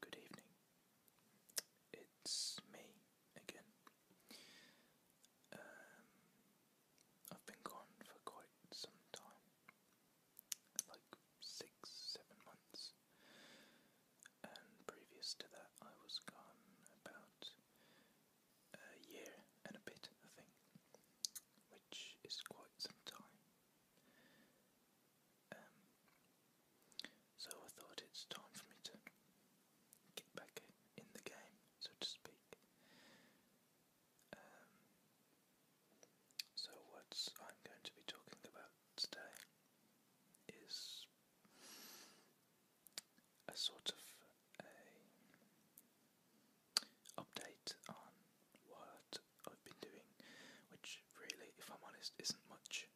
Good evening. It's me again. Um, I've been gone for quite some time, like six, seven months, and previous to that, I was gone about a year and a bit, I think, which is quite some time. Um, so I thought it's time for me to get back in the game, so to speak. Um, so what I'm going to be talking about today is a sort of a update on what I've been doing, which really, if I'm honest, isn't much.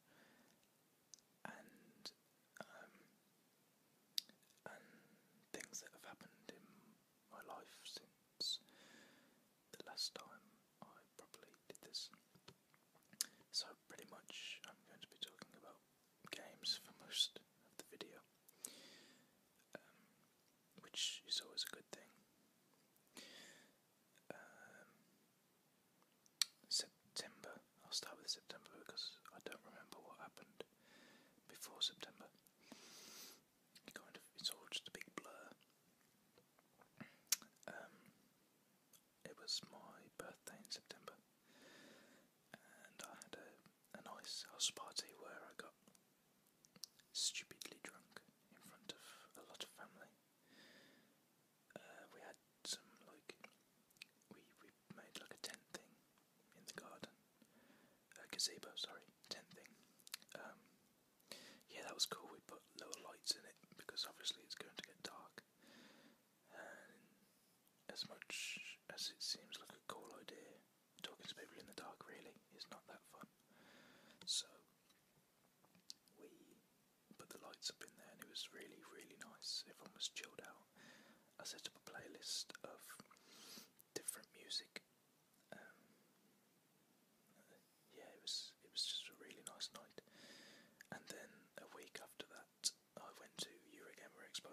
Um, and things that have happened in my life since the last time I probably did this. So pretty much, I'm going to be talking about games for most of the video. Um, which is always a good thing. Um, September. I'll start with September because I don't remember what happened before September. it's all just a big blur. Um, it was my birthday in September, and I had a, a nice house party where I got stupidly drunk in front of a lot of family. Uh, we had some like we we made like a tent thing in the garden, a gazebo. Sorry, tent thing. Um, yeah, that was cool. We put lower lights in it because obviously it's going to get dark. as much as it seems like a cool idea, talking to people in the dark really is not that fun. So we put the lights up in there and it was really, really nice. Everyone was chilled out. I set up a playlist of different music. Um, yeah, it was it was just a really nice night. And then a week after that, I went to Eurogamer Expo,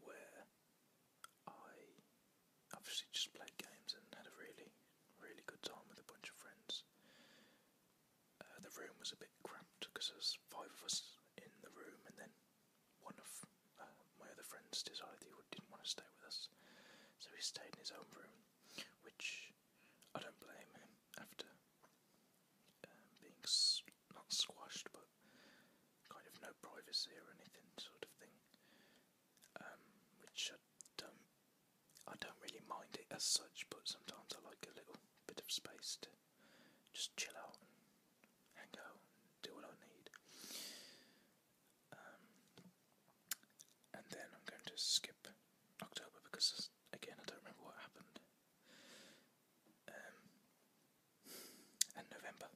where I obviously just played games and had a really, really good time with a bunch of friends. Uh, the room was a bit cramped because there's five of us in the room, and then one of uh, my other friends decided he didn't want to stay with us, so he stayed in his own room, which I don't blame him after um, being s not squashed but kind of no privacy or anything sort of thing. Um, which I don't, I don't really mind it as such, but sometimes I like a little bit of space to just chill out hang out do what I need. Um, and then I'm going to skip October because, again, I don't remember what happened. Um, and November.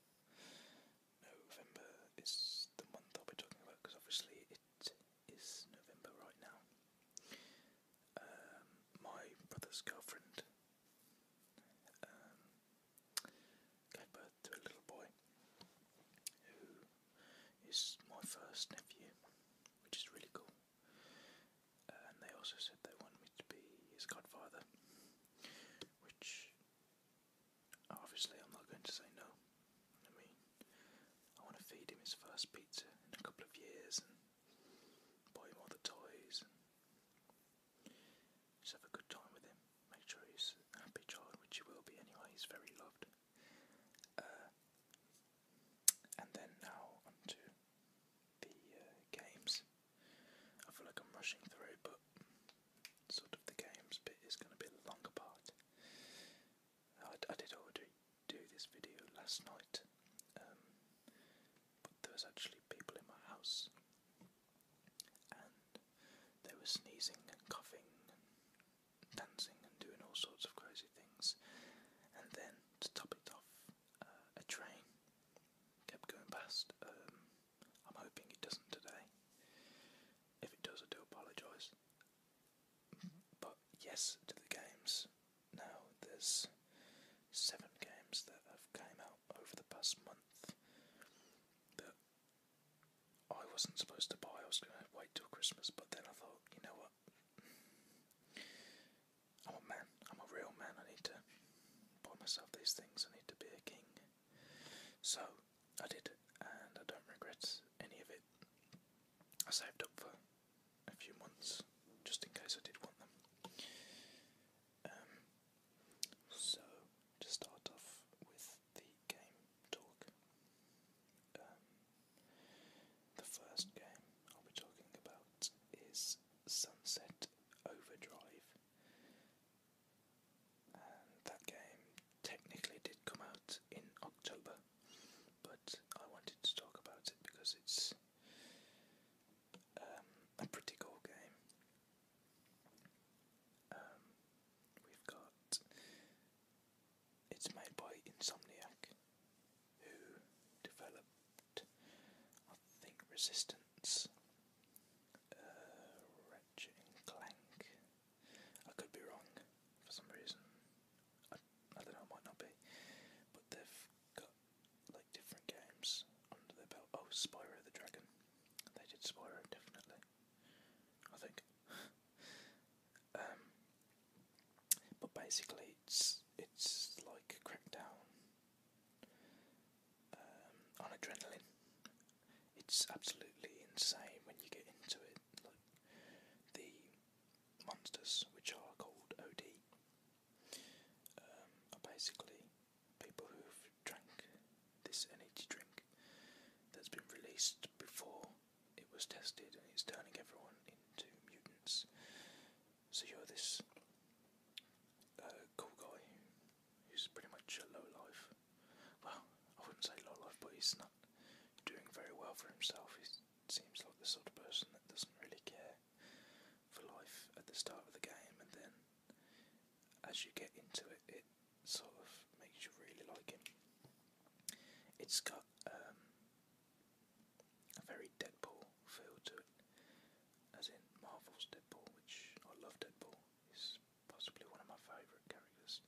November is the month I'll be talking about because obviously it is November right now. Um, my brother's girlfriend um, gave birth to a little boy who is my first nephew, which is really cool. And they also said they want me to be his godfather, which Obviously, I'm not going to say no. I mean, I want to feed him his first pizza in a couple of years and buy him all the toys and just have a good time with him. Make sure he's a happy child, which he will be anyway. He's very loved. Uh, and then now onto the uh, games. I feel like I'm rushing through, but sort of the games bit is going to be the longer part. I, did already do this video last night, um, but there was actually people in my house, and they were sneezing and coughing and dancing and doing all sorts of crazy things. And then to top it off, uh, a train kept going past. Um, I'm hoping it doesn't today. If it does, I do apologise. But yes to the games. Now there's seven games that have came out over the past month that I wasn't supposed to buy. I was going to wait till Christmas, but then I thought, you know what? I'm a man. I'm a real man. I need to buy myself these things. I need to be a king. So I did, and I don't regret any of it. I saved up for a few months just in case I did want them. Um, so to start off with the game talk, um, the first game I'll be talking about is Sunset Overdrive that game technically did come out in October, but I wanted to talk about it because it's um, a pretty cool game. Um, we've got it's made by Insomniac, who developed, I think, Resistance. Resistance, uh, Ratchet Clank. I could be wrong for some reason. I, don't know, might not be. But they've got like different games under their belt. Oh, Spyro the Dragon. They did Spyro definitely. I think. Um, but basically, it's it's like Crackdown um, on adrenaline. It's absolutely insane when you get into it. the monsters, which are called OD, um, are basically people who've drank this energy drink that's been released before it was tested, and it's turning everyone into mutants. So you're this uh, cool guy He's pretty much a low life. Well, I wouldn't say low life, but he's not doing very well for himself. He seems like the sort of person that doesn't really care for life at the start of the game, and then as you get into it, it sort of makes you really like him. It's got um, a very Deadpool feel to it, as in Marvel's Deadpool, which I love Deadpool. He's possibly one of my favourite characters.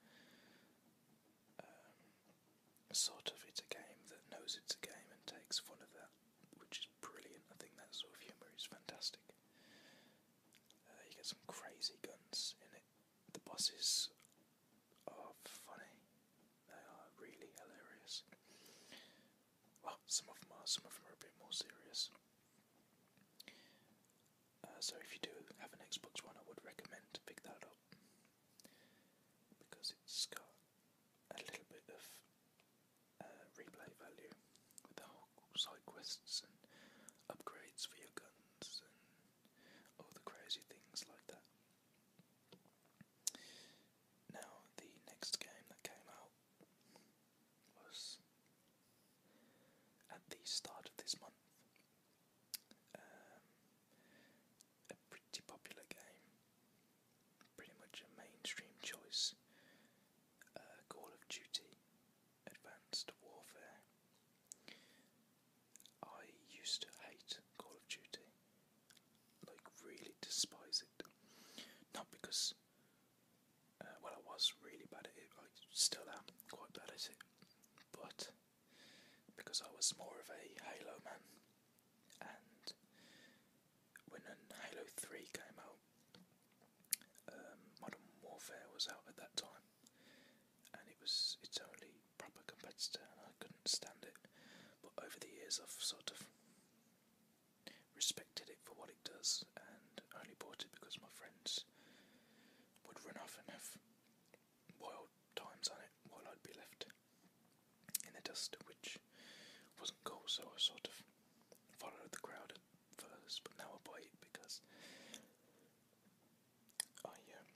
Um, sort of, it's a game that knows it's a game and takes fun of that, which is brilliant. I think that sort of humour is fantastic. Uh, you get some crazy guns in it. The bosses are funny. They are really hilarious. Well, some of them are, some of them are a bit more serious. Uh, so if you do have an Xbox One, I would recommend to pick that up because it's got a little bit of uh, replay value with the side quests and upgrades for your guns and all the crazy things like that. Now, the next game that came out was at the start of this month. Um, a pretty popular game, pretty much a mainstream choice. Uh, Call of Duty, Advanced Warfare. I used to hate Call of Duty, like, really despise it. Not because uh, well, I was really bad at it. I still am quite bad at it, but because I was more of a Halo man, and when Halo Three came out, um, Modern Warfare was out at that time, and it was its only proper competitor, and I couldn't stand it. But over the years, I've sort of respected it for what it does, and only bought it because my friends would run off and have wild times on it while I'd be left in the dust, which wasn't cool, so I sort of followed the crowd at first, but now I buy it because I um,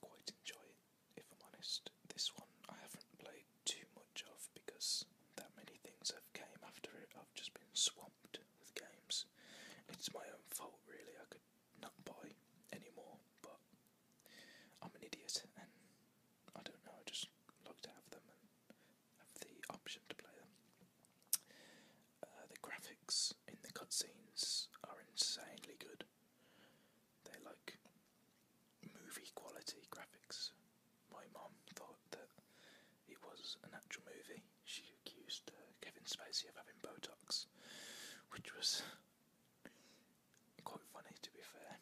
quite enjoy it, if I'm honest. This one I haven't played too much of because that many things have came after it. I've just been swamped with games. It's my own fault, really. I could not buy any more, but I'm an idiot, and I don't know. I just like to have them and have the option to play them. Uh, the graphics in the cutscenes are insanely good. They're like movie quality graphics, my mum thought that it was an actual movie. She accused uh, Kevin Spacey of having Botox, which was quite funny to be fair.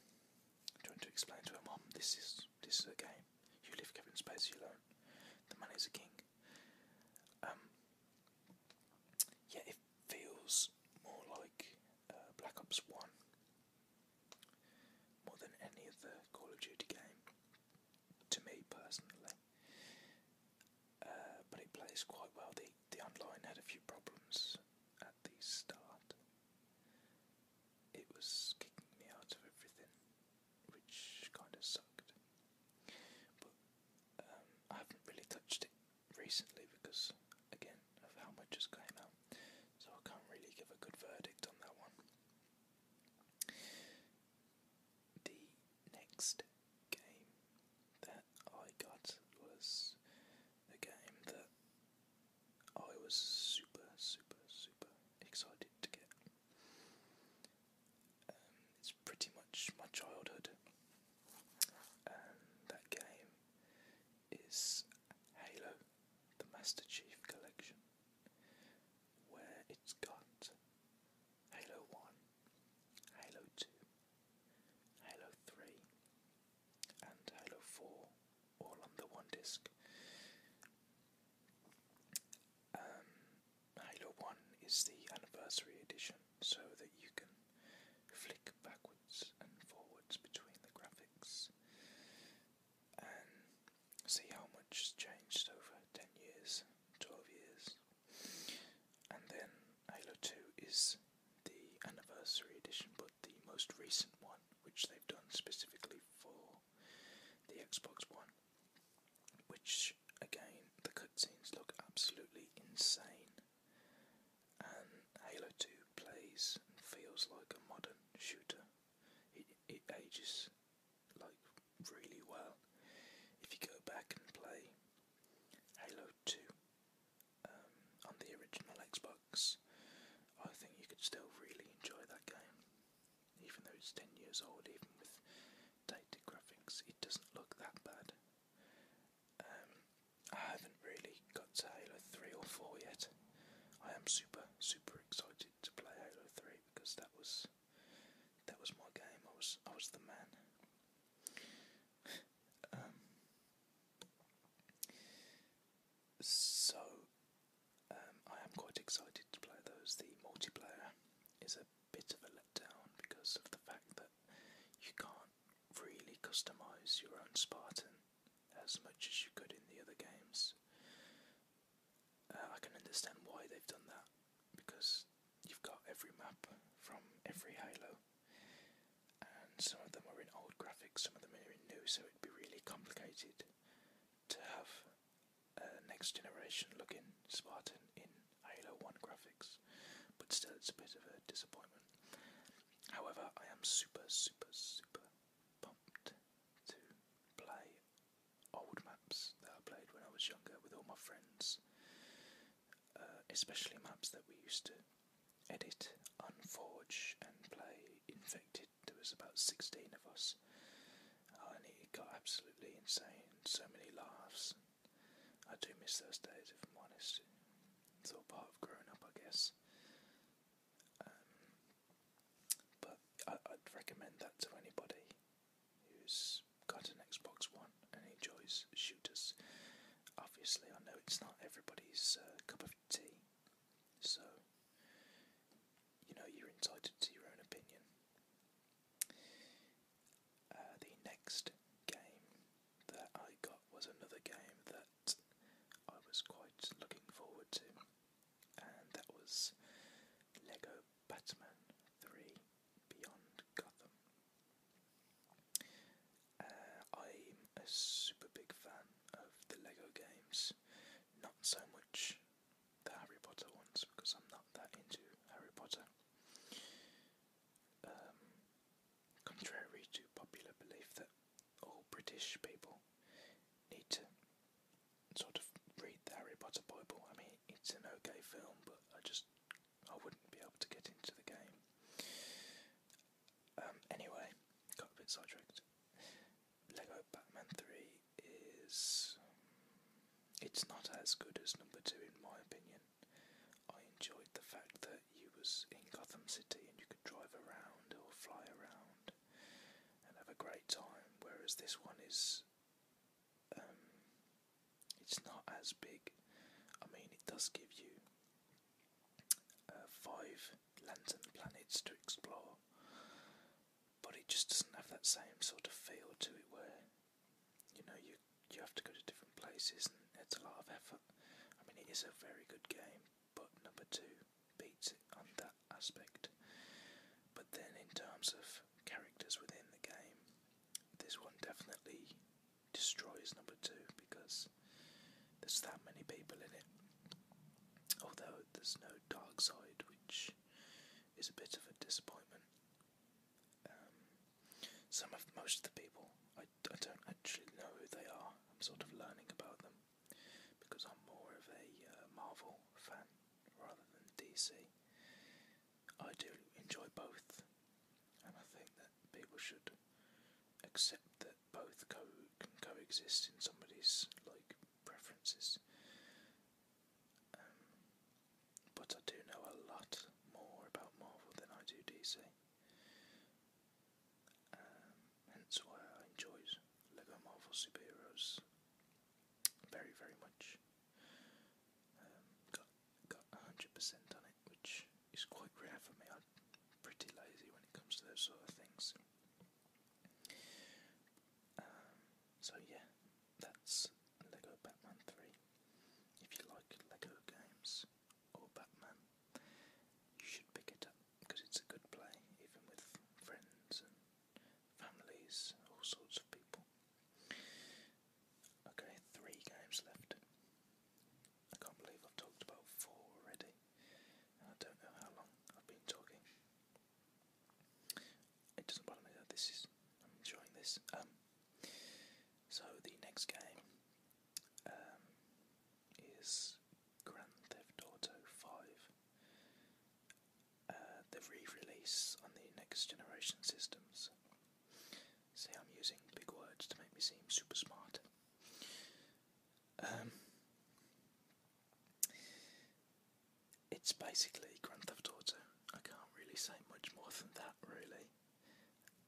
I'm trying to explain to her mum, this is this is a game. You leave Kevin Spacey alone. The man is a king. Um, yeah, it feels more like uh, Black Ops One more than any other Call of Duty game to me personally. Uh, but it plays quite well. The, the online had a few problems at the start. It was kicking me out of everything, which kind of sucked. But um, I haven't really touched it recently because, again, of how much has came out. So I can't really give a good verdict on that one. The next game that I got was a game that I was super, super, super excited to get. Um, it's pretty much my childhood. Um, that game is Halo, the Master Chief Collection where it's got Halo 1, Halo 2, Halo 3, and Halo 4 all on the one disc. Um, Halo 1 is the anniversary edition so that you can flick backwards and forwards between the graphics and see how much has changed over 10 years, 12 years. And then Halo 2 is the anniversary edition, but the most recent one, which they've done specifically for the Xbox One, which again, the cutscenes look absolutely insane. And Halo 2 plays and feels like a modern shooter it, it ages like really well. If you go back and play Halo 2 um, on the original Xbox, I think you could still really enjoy that game. Even though it's 10 years old, even with dated graphics, it doesn't look that bad. Um, I haven't really got uh, 3 or 4 yet. I am super, super excited to play Halo 3 because that was that was my game. I was I was the man. Um, so um, I am quite excited to play those. The multiplayer is a bit of a letdown because of the fact that you can't really customize your own Spartan as much as you could in the other games. Uh, I can understand why they've done that because you've got every map from every Halo, and some of them are in old graphics, some of them are in new, so it'd be really complicated to have next generation looking Spartan in Halo 1 graphics, but still, it's a bit of a disappointment. However, I am super, super, super pumped to play old maps that I played when I was younger with all my friends, uh, especially maps that we used to edit, unforge, and play. Infected, there was about 16 of us, uh, and it got absolutely insane. So many laughs. I do miss those days, if I'm honest. It's all part of growing up, I guess. Um, but I, I'd recommend that to anybody who's got an Xbox One and enjoys shooters. Obviously, I know it's not everybody's uh, cup of tea, so you know you're entitled to your own opinion. Uh, the next game that I got was another game that I was quite looking forward to, and that was Lego Batman 3 Beyond Gotham. Uh, I'm a super big fan of the Lego games, not so much the Harry Potter ones because I'm not that into Harry Potter. Um, contrary to popular belief that all British people need to sort of read Harry Potter book. I mean, it's an okay film, but I just I wouldn't be able to get into the game. Um, anyway, got a bit sidetracked. Lego Batman 3 is. It's not as good as number 2 in my opinion. I enjoyed the fact that you was in Gotham City and you could drive around or fly around and have a great time, whereas this one is um, it's not as big. I mean, it does give you uh, five lantern planets to explore, but it just doesn't have that same sort of feel to it where you know you you have to go to different places and it's a lot of effort. I mean, it is a very good game, but number two beats it on that aspect. But then, in terms of characters within the game, this one definitely destroys number two because there's that many people in it. Although there's no dark side, which is a bit of a disappointment. Um, some of most of the people, I, I don't actually know who they are. I'm sort of learning about them because I'm more of a uh, Marvel fan rather than DC. I do enjoy both, and I think that people should accept that both co can coexist in somebody's like preferences. Um, but I do know a lot more about Marvel than I do DC. Um, hence why I enjoyed Lego Marvel Superheroes very, very much. Um, got got 100% on it, which is quite rare for me. I'm pretty lazy when it comes to those sort of things. Um, so yeah, that's Lego Batman 3. If you like Lego games, or Batman, you should pick it up because it's a good play, even with friends and families, all sorts of people. Okay, three games left. I can't believe I've talked about four already. I don't know how long I've been talking. It doesn't bother me this is. I'm enjoying this. Um, so the next game um, is Grand Theft Auto 5. Uh, the re-release on the next generation systems. See, I'm using big words to make me seem super smart. Um, it's basically Grand Theft Auto. I can't really say much more than that, really.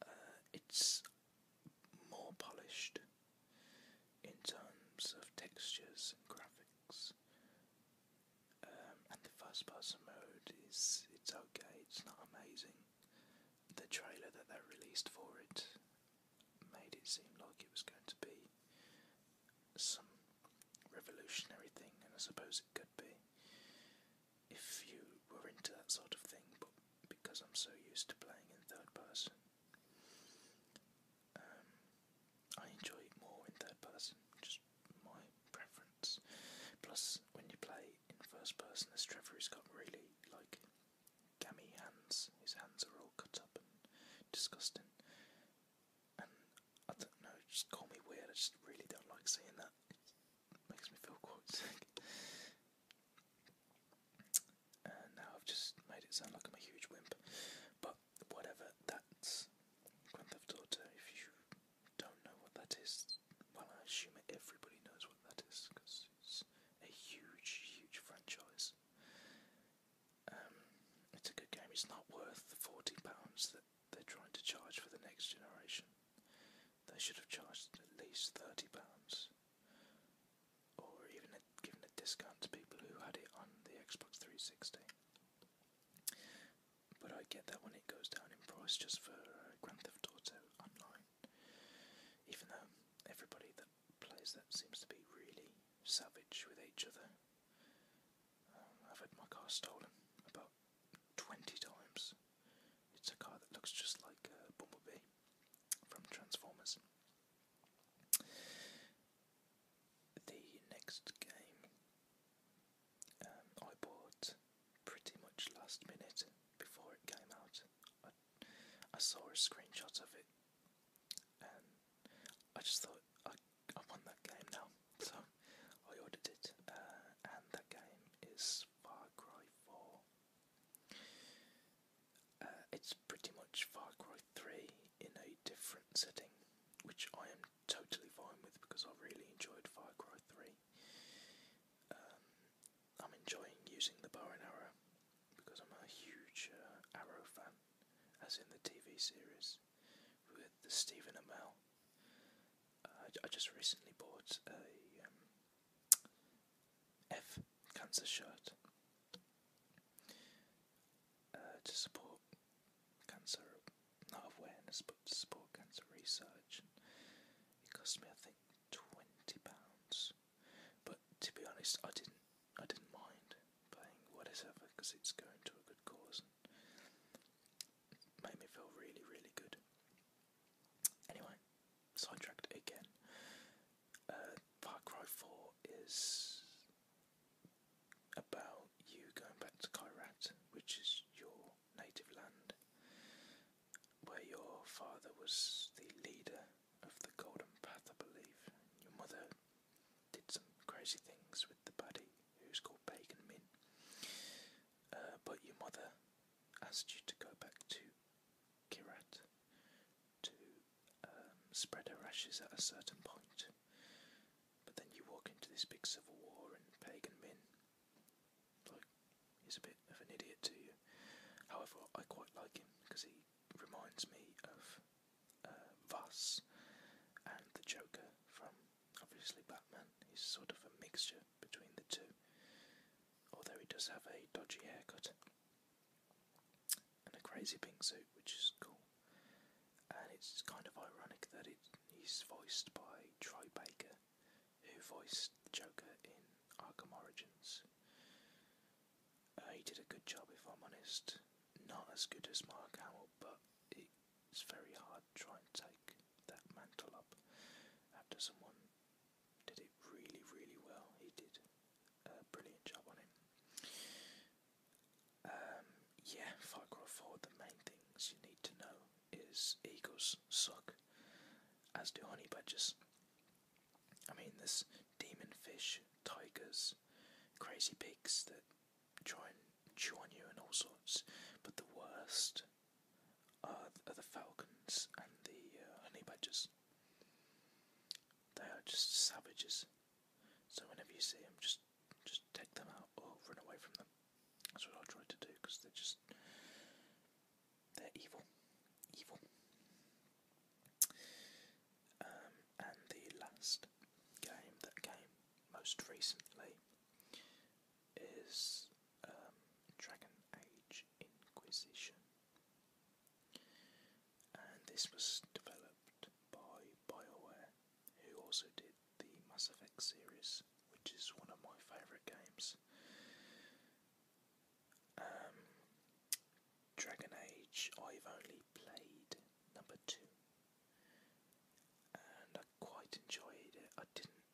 Uh, it's more polished in terms of textures and graphics. Um, and the first person mode is it's okay, it's not amazing. The trailer that they released for it made it seem like it was going to be some revolutionary thing, and I suppose it could be if you were into that sort of thing, but because I'm so used to playing in third person. Um, I enjoy it more in third person, just my preference. Plus, when you play in first person, as Trevor has got really like gammy hands, his hands are all cut up and disgusting. And I don't know, just call me weird, I just really don't like seeing that. It makes me feel quite sick. And uh, now I've just made it sound like I'm a huge wimp. But whatever, that's Grand Theft Auto. If you don't know what that is, well, I assume everybody knows what that is because it's a huge, huge franchise. Um, it's a good game. It's not worth the forty pounds that they're trying to charge for the next generation. They should have charged at least thirty pounds or even a, given a discount to people who had it on the Xbox 360. But I get that when it goes down in price just for uh, Grand Theft Auto Online, even though everybody that plays that seems to be really savage with each other. Um, I've had my car stolen about 20 times it's a car that looks just like uh, Bumblebee from Transformers. The next game um, I bought pretty much last minute before it came out. I, saw a of it and I just thought I, I that game now. So I ordered it, uh, and that game is Far Cry 4. Uh, it's pretty much Far Cry 3 in a different setting, which I am totally fine with because I really enjoyed Far Cry 3. Um, I'm enjoying using the bow and arrow because I'm a huge uh, arrow fan, as in the TV series with the Stephen Amell. Uh, I just recently bought a um, F Cancer Shirt uh, to support cancer, not awareness, but to support cancer research. And it cost me, I think, twenty pounds. But to be honest, I didn't, I didn't mind paying whatever because it's going to a good cause. And made me feel really, really good. Anyway, sidetracked again. Uh, Far Cry 4 is about you going back to Kyrat, which is your native land, where your father was the leader of the Golden Path, I Your mother did some crazy things with the buddy who's called Pagan Min. Uh, but your mother asked you to go back to Kirat to um, spread her ashes at a certain point. But then you walk into this big civil war, and Pagan men like, is a bit of an idiot to you. However, I quite like him because he reminds me of uh, Voss and the Joker from obviously Batman. He's sort of a mixture between the two although he does have a dodgy haircut and a crazy pink suit, which is cool. And it's kind of ironic that it, he's voiced by Troy Baker, who voiced Joker in Arkham Origins. Uh, he did a good job, if I'm honest. Not as good as Mark Hamill, but it's very hard to try and take that mantle up after someone did it really, really well. He did a brilliant job on it. Um, yeah, Farcroft Ford, the main things you need to know is eagles suck, as do honey badgers. I mean, this demon fish, tigers, crazy pigs that try and chew on you and all sorts, but the worst are, the falcons and the uh, honey badgers. They are just savages. So whenever you see them, just just take them out or run away from them. That's what I try to do because they're just they're evil, evil. Um, and the last game that came most recently is um, Dragon Age Inquisition, and this was developed by BioWare, who also did the Mass Effect series, which is one of my favourite games. Um, Dragon Age, I've only played number two, and quite enjoyed it. I didn't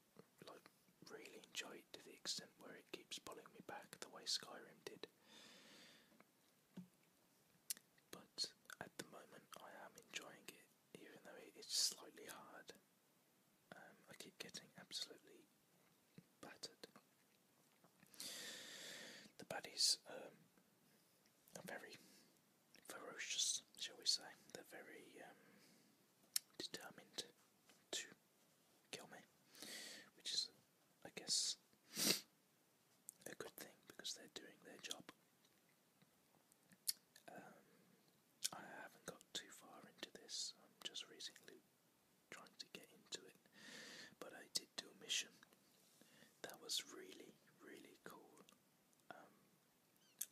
like really enjoy it to the extent where it keeps pulling me back the way Skyrim did. But at the moment, I am enjoying it, even though it's slightly hard. Um, I keep getting absolutely battered. The baddies um, are very ferocious, shall we say? They're very um, determined to kill me, which is, I guess, a good thing because they're doing their job. Um, I haven't got too far into this, I'm just recently trying to get into it, but I did do a mission that was really, really cool. Um,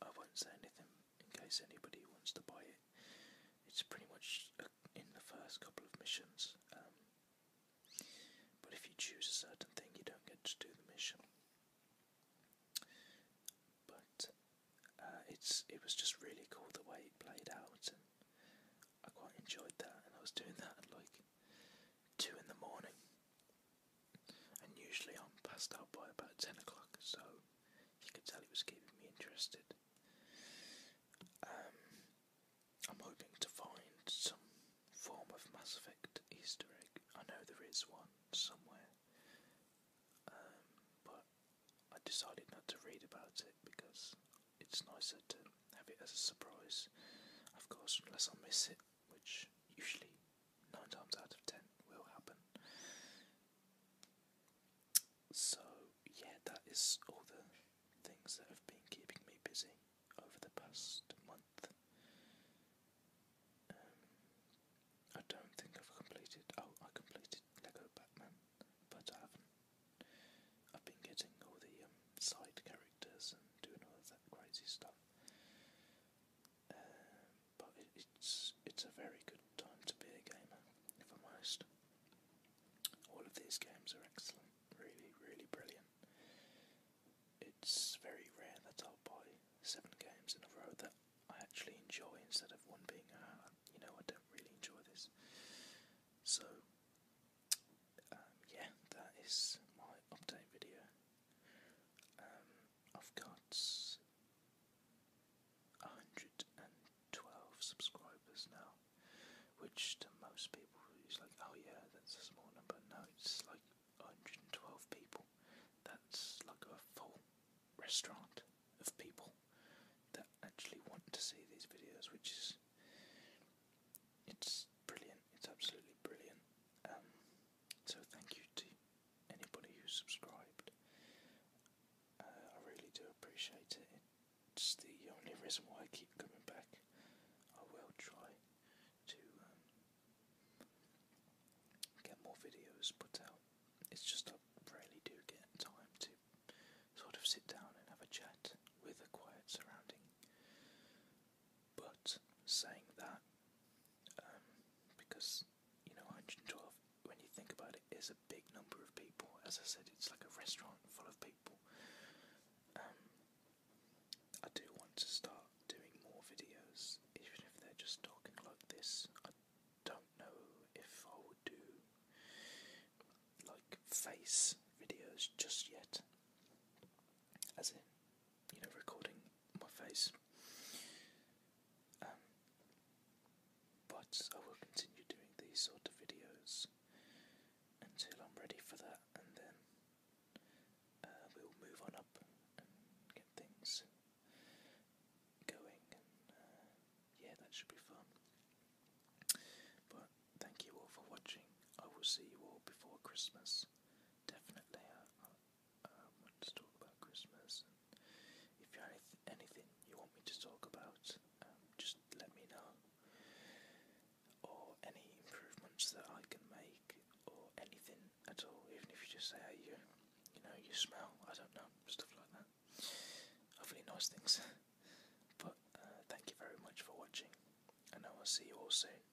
I won't say anything in case anybody wants to buy it. It's pretty much uh, in the first couple of missions, um, but if you choose a certain thing, you don't get to do the mission. But uh, it's it was just really cool the way it played out, and I quite enjoyed that. And I was doing that at like two in the morning, and usually I'm passed out by about ten o'clock, so you could tell it was keeping me interested. Um, I'm hoping to find some form of Mass Effect Easter egg. I know there is one somewhere, um, but I decided not to read about it because it's nicer to have it as a surprise. Of course, unless I miss it, which usually nine times out of ten will happen. So yeah, that is all the things that have been keeping me busy over the past month. Um, I don't think I've completed. Oh, I completed Lego Batman, but I haven't. I've been getting all the um, side characters and doing all that crazy stuff. Um, but it's it's a very good time to be a gamer, if i All of these games are excellent, really, really brilliant. It's very rare that I'll buy seven games in a row that I actually enjoy instead of one being, uh, you know, I don't really enjoy this. So, um, yeah, that is my update video. Um, of cuts. got 112 subscribers now, which to most people is like, oh yeah, that's a small number. No, it's like 112 people. That's like a full restaurant of people that actually want to see these videos, which is it's brilliant. It's absolutely brilliant. Um, so thank you to anybody who subscribed. Uh, I really do appreciate it. It's the only reason why I keep coming back. I will try to um, get more videos put out. It's just I really do get time to sort of sit down and have a chat with a quiet surrounding. But saying that, um, because you know, 112, when you think about it, is a big number of people. As I said, it's like a restaurant full of people. Um, I do want to start doing more videos, even if they're just talking like this. I don't know if I would do like face videos just yet, as in, you know, recording my face. Um, but I will continue doing these sort of videos until I'm ready for that, and then uh, we'll move on up and get things going. Uh, yeah, that should be fun. But thank you all for watching. I will see you all before Christmas. Definitely um, talk about Christmas, if you have anything you want me to talk about, um, just let me know. Or any improvements that I can make, or anything at all, even if you just say how you, you know, you smell. I don't know stuff like that. Hopefully, nice things. but uh, thank you very much for watching, and I will see you all soon.